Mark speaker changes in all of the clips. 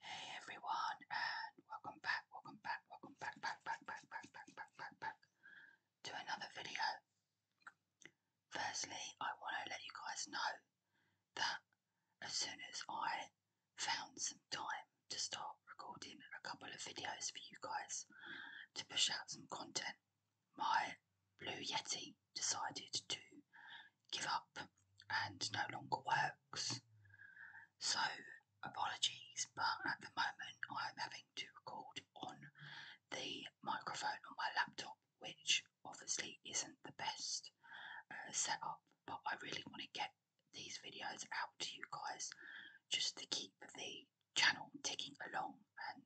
Speaker 1: Hey everyone, and welcome back, welcome back, welcome back, back, back, back, back, back, back, back, back to another video. Firstly, I want to let you guys know that as soon as I found some time to start recording a couple of videos for you guys to push out some content, my Blue Yeti decided to give up and no longer works. So, apologies, but at the moment I'm having to record on the microphone on my laptop, which obviously isn't the best uh, setup, but I really want to get these videos out to you guys just to keep the channel ticking along and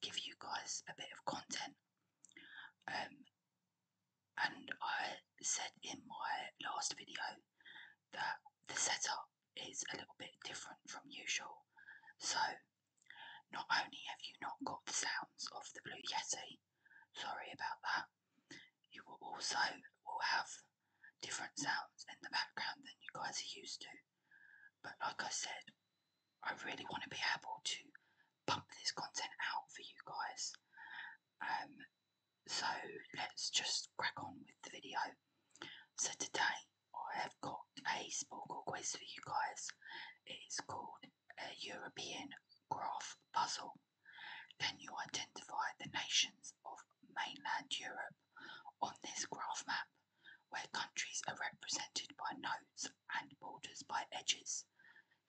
Speaker 1: give you guys a bit of content. Um, and I said in my last video that the setup is a little bit different from usual. So, not only have you not got the sounds of the Blue Yeti, sorry about that, you will also will have different sounds in the background than you guys are used to. But like I said, I really want to be able to pump this content out for you guys. Um, so let's just crack on with the video. So today I have got a small quiz for you guys. It is called a European Graph Puzzle. Can you identify the nations of mainland Europe on this graph map where countries are represented by nodes and borders by edges?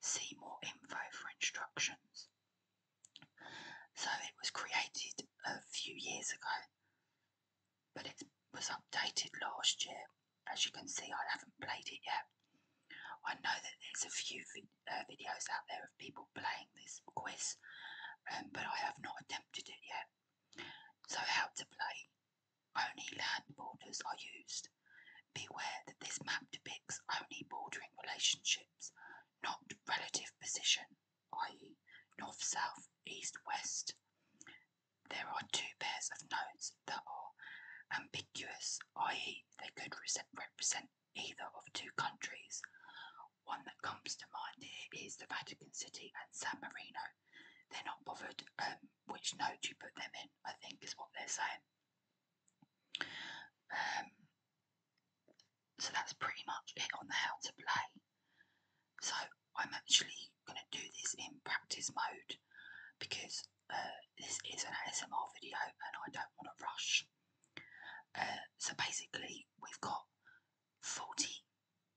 Speaker 1: See more info for instructions. So it was created a few years ago, but it was updated last year. As you can see, I haven't played it yet. I know that there's a few uh, videos out there of people playing this quiz, um, but I have not attempted it yet. So, how to play only land borders are used. Beware that this map depicts only bordering relationships, not relative position, i.e., north south, east west. There are two pairs of nodes that are ambiguous, i.e., they could represent either of two countries. One that comes to mind here is the Vatican City and San Marino. They're not bothered um, which node you put them in, I think, is what they're saying. Um, so that's pretty much it on how to play. So I'm actually going to do this in practice mode because uh, this is an ASMR video and I don't want to rush. Uh, so basically, we've got 40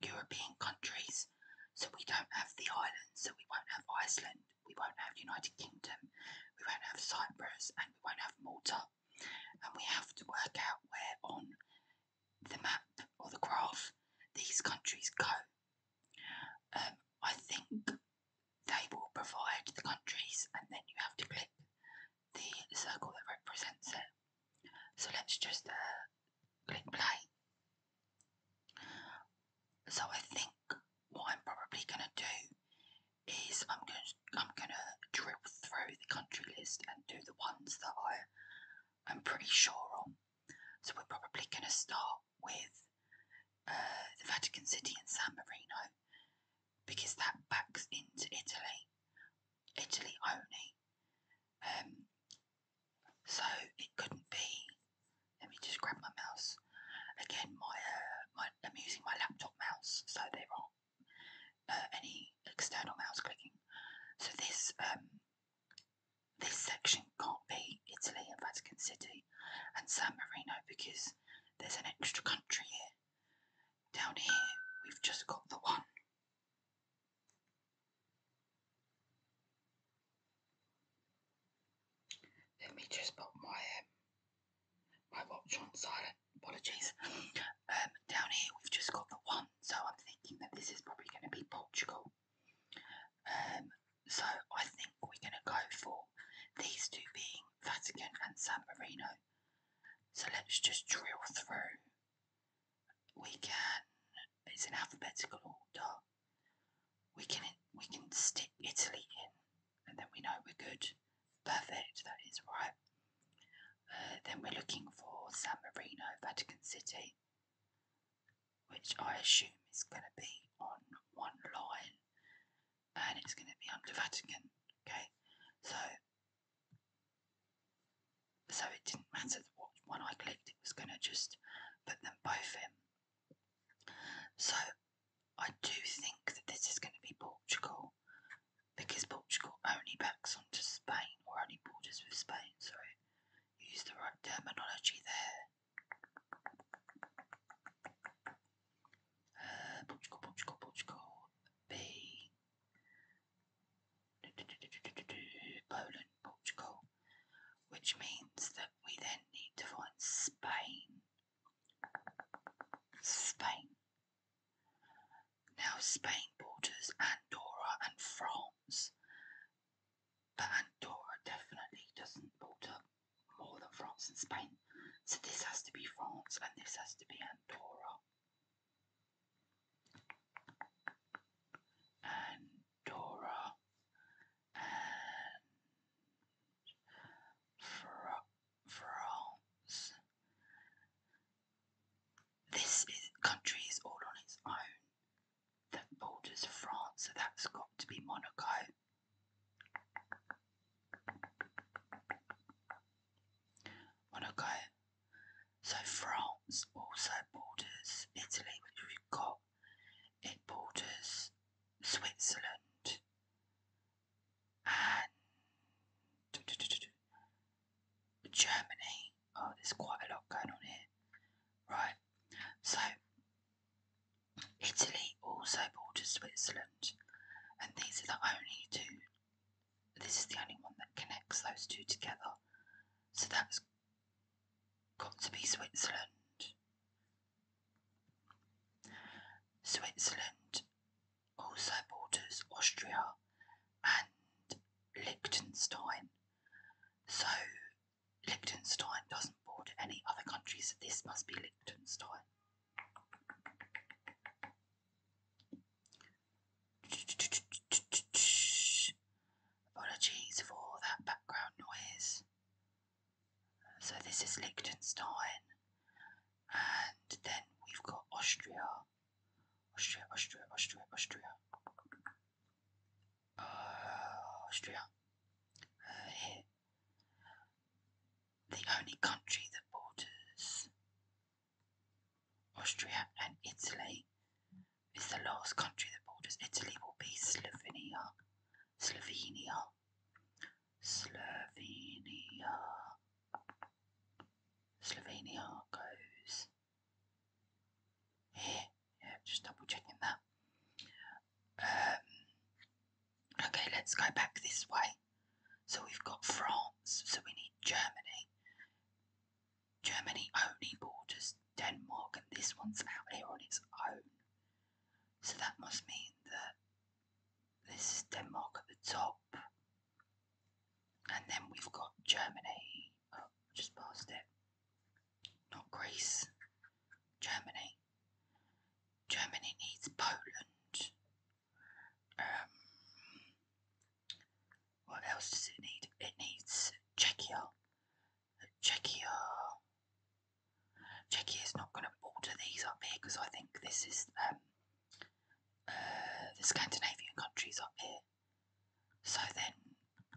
Speaker 1: European countries, so we don't have the islands, so we won't have Iceland, we won't have United Kingdom, we won't have Cyprus, and we won't have Malta. And we have to work out where on the map or the graph these countries go. Um, I think they will provide the countries, and then you have to click the circle that represents it. So let's just uh, click play. So I think what I'm probably gonna do is I'm gonna I'm gonna drill through the country list and do the ones that I I'm pretty sure on. So we're probably gonna start with uh, the Vatican City and San Marino because that backs into Italy, Italy only. Um, so it couldn't be. Let me just grab my mouse. Again, my, uh, my I'm using my laptop mouse, so there aren't uh, any external mouse clicking. So this um, this section can't be Italy and Vatican City and San Marino because there's an extra country here. Down here, we've just got the one. Let me just put my um, my watch on silent. Apologies. Um, down here we've just got the one, so I'm thinking that this is probably going to be Portugal. Um, so I think we're going to go for these two being Vatican and San Marino. So let's just drill through. We can. It's in alphabetical order we can we can stick Italy in, and then we know we're good. Perfect, that is right. Uh, then we're looking for San Marino, Vatican City, which I assume is going to be on one line, and it's going to be under Vatican. Okay, so so it didn't matter what one I clicked; it was going to just put them both in. So I do think that this is going to be Portugal because Portugal only backs onto Spain or only borders with Spain. So use the right terminology there. Uh, Portugal, Portugal, Portugal. B. Poland, Portugal which means that we then need to find Spain. Spain. Now, Spain borders Andorra and France, but Andorra definitely doesn't border more than France and Spain. So, this has to be France and this has to be Andorra. And Dora and France. This is, country is all on its own The borders of France, so that's got to be Monaco. Monaco. So France also borders Italy, we've got. It borders Switzerland and Germany. Oh, there's quite a lot going on here. Right, so Italy also borders Switzerland, and these are the only two. This is the only one that connects those two together. So that's Got to be Switzerland. Switzerland also borders Austria and Liechtenstein. So Liechtenstein doesn't border any other countries, this must be Liechtenstein. Apologies for that background noise. So this is Liechtenstein, and then we've got Austria, Austria, Austria, Austria, Austria, uh, uh, here, the only country that borders Austria and Italy it's the last country that borders Italy will be Slovenia. Slovenia. Slovenia. Slovenia goes here. Yeah, just double checking that. Um, okay, let's go back this way. So we've got France, so we need Germany. Germany only borders Denmark, and this one's out here on its own. So that must mean that this is Denmark at the top, and then we've got Germany. Oh, just past it. Not Greece, Germany. Germany needs Poland. Um, what else does it need? It needs Czechia. Czechia. is not going to order these up here because I think this is um, uh, the Scandinavian countries up here. So then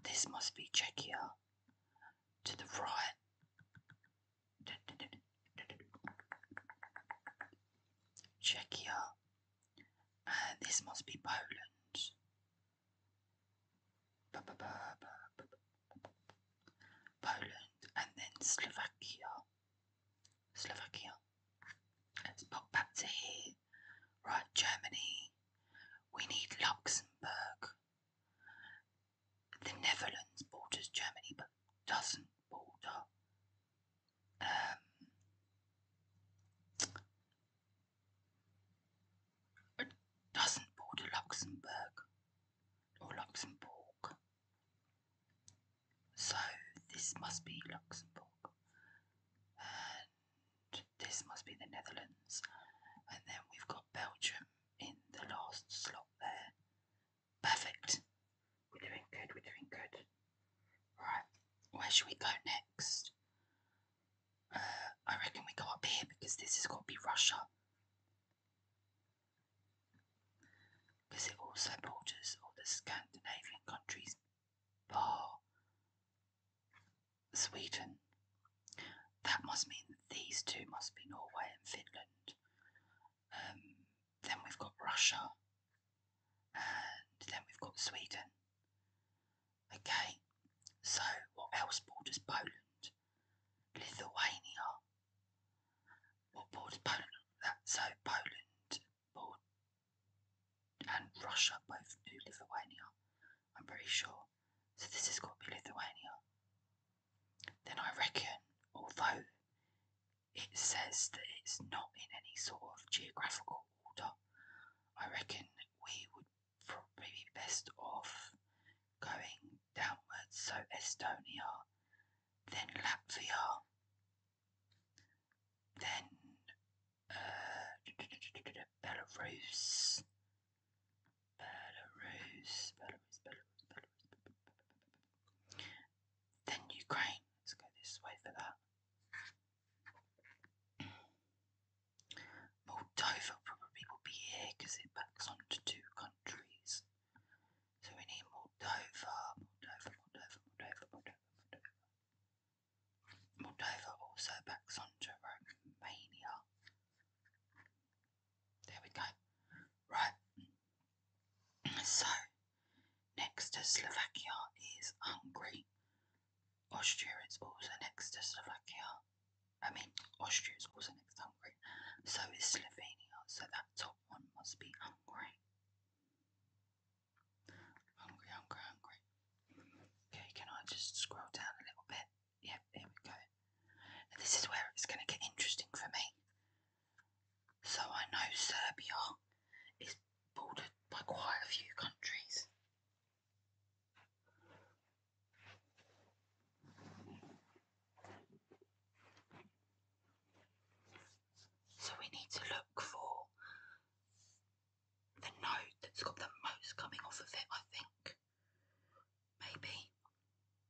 Speaker 1: this must be Czechia to the right. Czechia. And this must be Poland. Poland and then Slovakia. Slovakia. Let's pop back to here. Right, Germany. We need Luxembourg. The Netherlands borders Germany but doesn't border um, it doesn't border Luxembourg or Luxembourg. So this must be Luxembourg. And this must be the Netherlands. And then we've got Belgium in the last slot there. Perfect. We're doing good, we're doing good. Right, where should we go next? Uh, I reckon we go up here because this has got to be Russia. Because it also borders all the Scandinavian countries, bar Sweden. That must mean these two must be Norway and Finland. Um, then we've got Russia, and then we've got Sweden. Okay, so what else borders Poland? Lithuania. What borders Poland? That so Poland board and Russia both knew Lithuania. I'm pretty sure. So this has got to be Lithuania. Then I reckon, although it says that it's not in any sort of geographical I reckon we would probably be best off going downwards, so Estonia, then Latvia, then uh, Belarus. Belarus, Belarus, Belarus, Belarus, Then Ukraine. Let's go this way for that. Moldova probably will be here because it backs onto two countries. So we need Moldova, Moldova, Moldova, Moldova, Moldova, Moldova. Moldova also backs onto Romania. There we go. Right. So Next to Slovakia is Hungary. Austria is also next to Slovakia. I mean, Austria is also next to Hungary. So is Slovenia. So that top one must be Hungary. Hungry, hungry, hungry. Okay, can I just scroll down a little bit? Yep, here we go. this is where it's going to get interesting for me. So I know Serbia is bordered by quite a few countries. So we need to look for the node that's got the most coming off of it, I think. Maybe.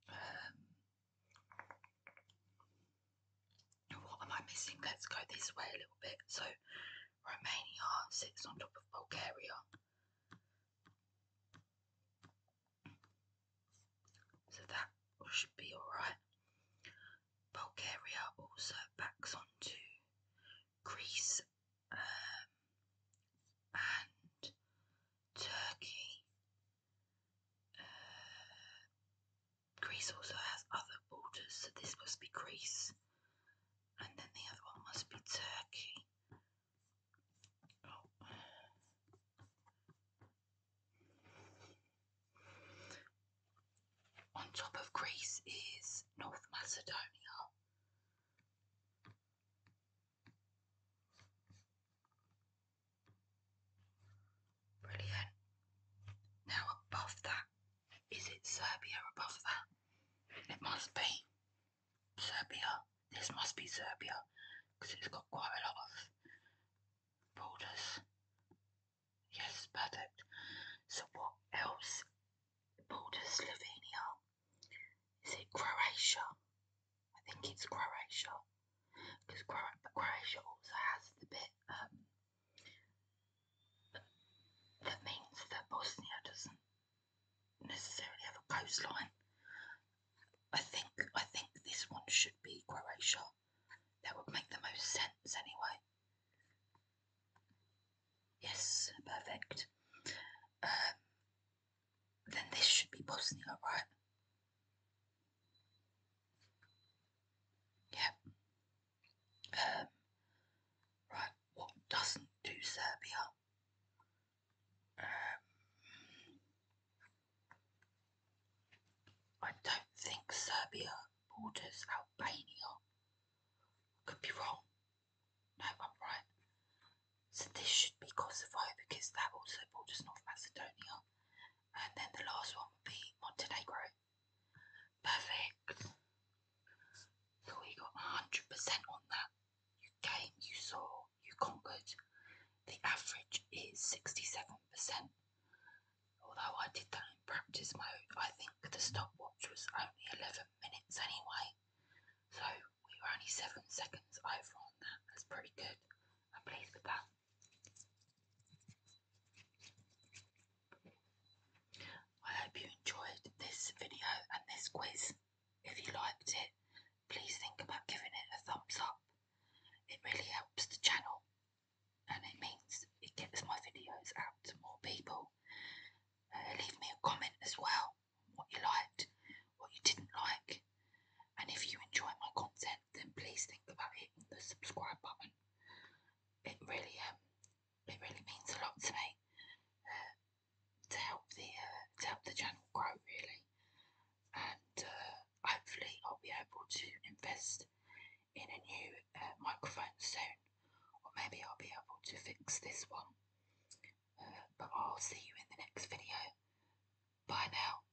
Speaker 1: Um, what am I missing? Let's go this way a little bit. So Romania sits on top of Bulgaria. So that should be alright. Bulgaria also backs onto Greece um, and Turkey. Uh, Greece also has other borders, so this must be Greece. And then the other one must be Turkey. Oh. On top of Greece is North Macedonia. Brilliant. Now, above that is it Serbia above that? It must be. Serbia. This must be Serbia because it's got quite a lot of borders. Yes, perfect. So what else borders Slovenia? Is it Croatia? I think it's Croatia because Croatia also has the bit um, that means that Bosnia doesn't necessarily have a coastline. I think I think this one should be Croatia. That would make the most sense anyway. Yes, perfect. Um, then this should be Bosnia, right? Yep. Um, right, what doesn't do Serbia? Um, I don't think Serbia borders Albania. Could be wrong. No, I'm right. So this should be Kosovo because that also borders North Macedonia. And then the last one would be Montenegro. Perfect. So we got 100% on that. You came, you saw, you conquered. The average is 67%. Although I did that in practice mode, I think the stopwatch was only 11 minutes anyway. So we were only 7 seconds over on that. That's pretty good. I'm pleased with that. I hope you enjoyed this video and this quiz. If you liked it, please think about giving it a thumbs up. It really helps the channel and it means it gets my videos out to more people. Uh, leave me a comment as well what you liked, what you didn't like, and if you enjoy my content, then please think about hitting the subscribe button. It really, um, it really means a lot to me uh, to help the uh, to help the channel grow really, and uh, hopefully I'll be able to invest in a new uh, microphone soon, or maybe I'll be able to fix this one. Uh, but I'll see you in the next video. Bye now.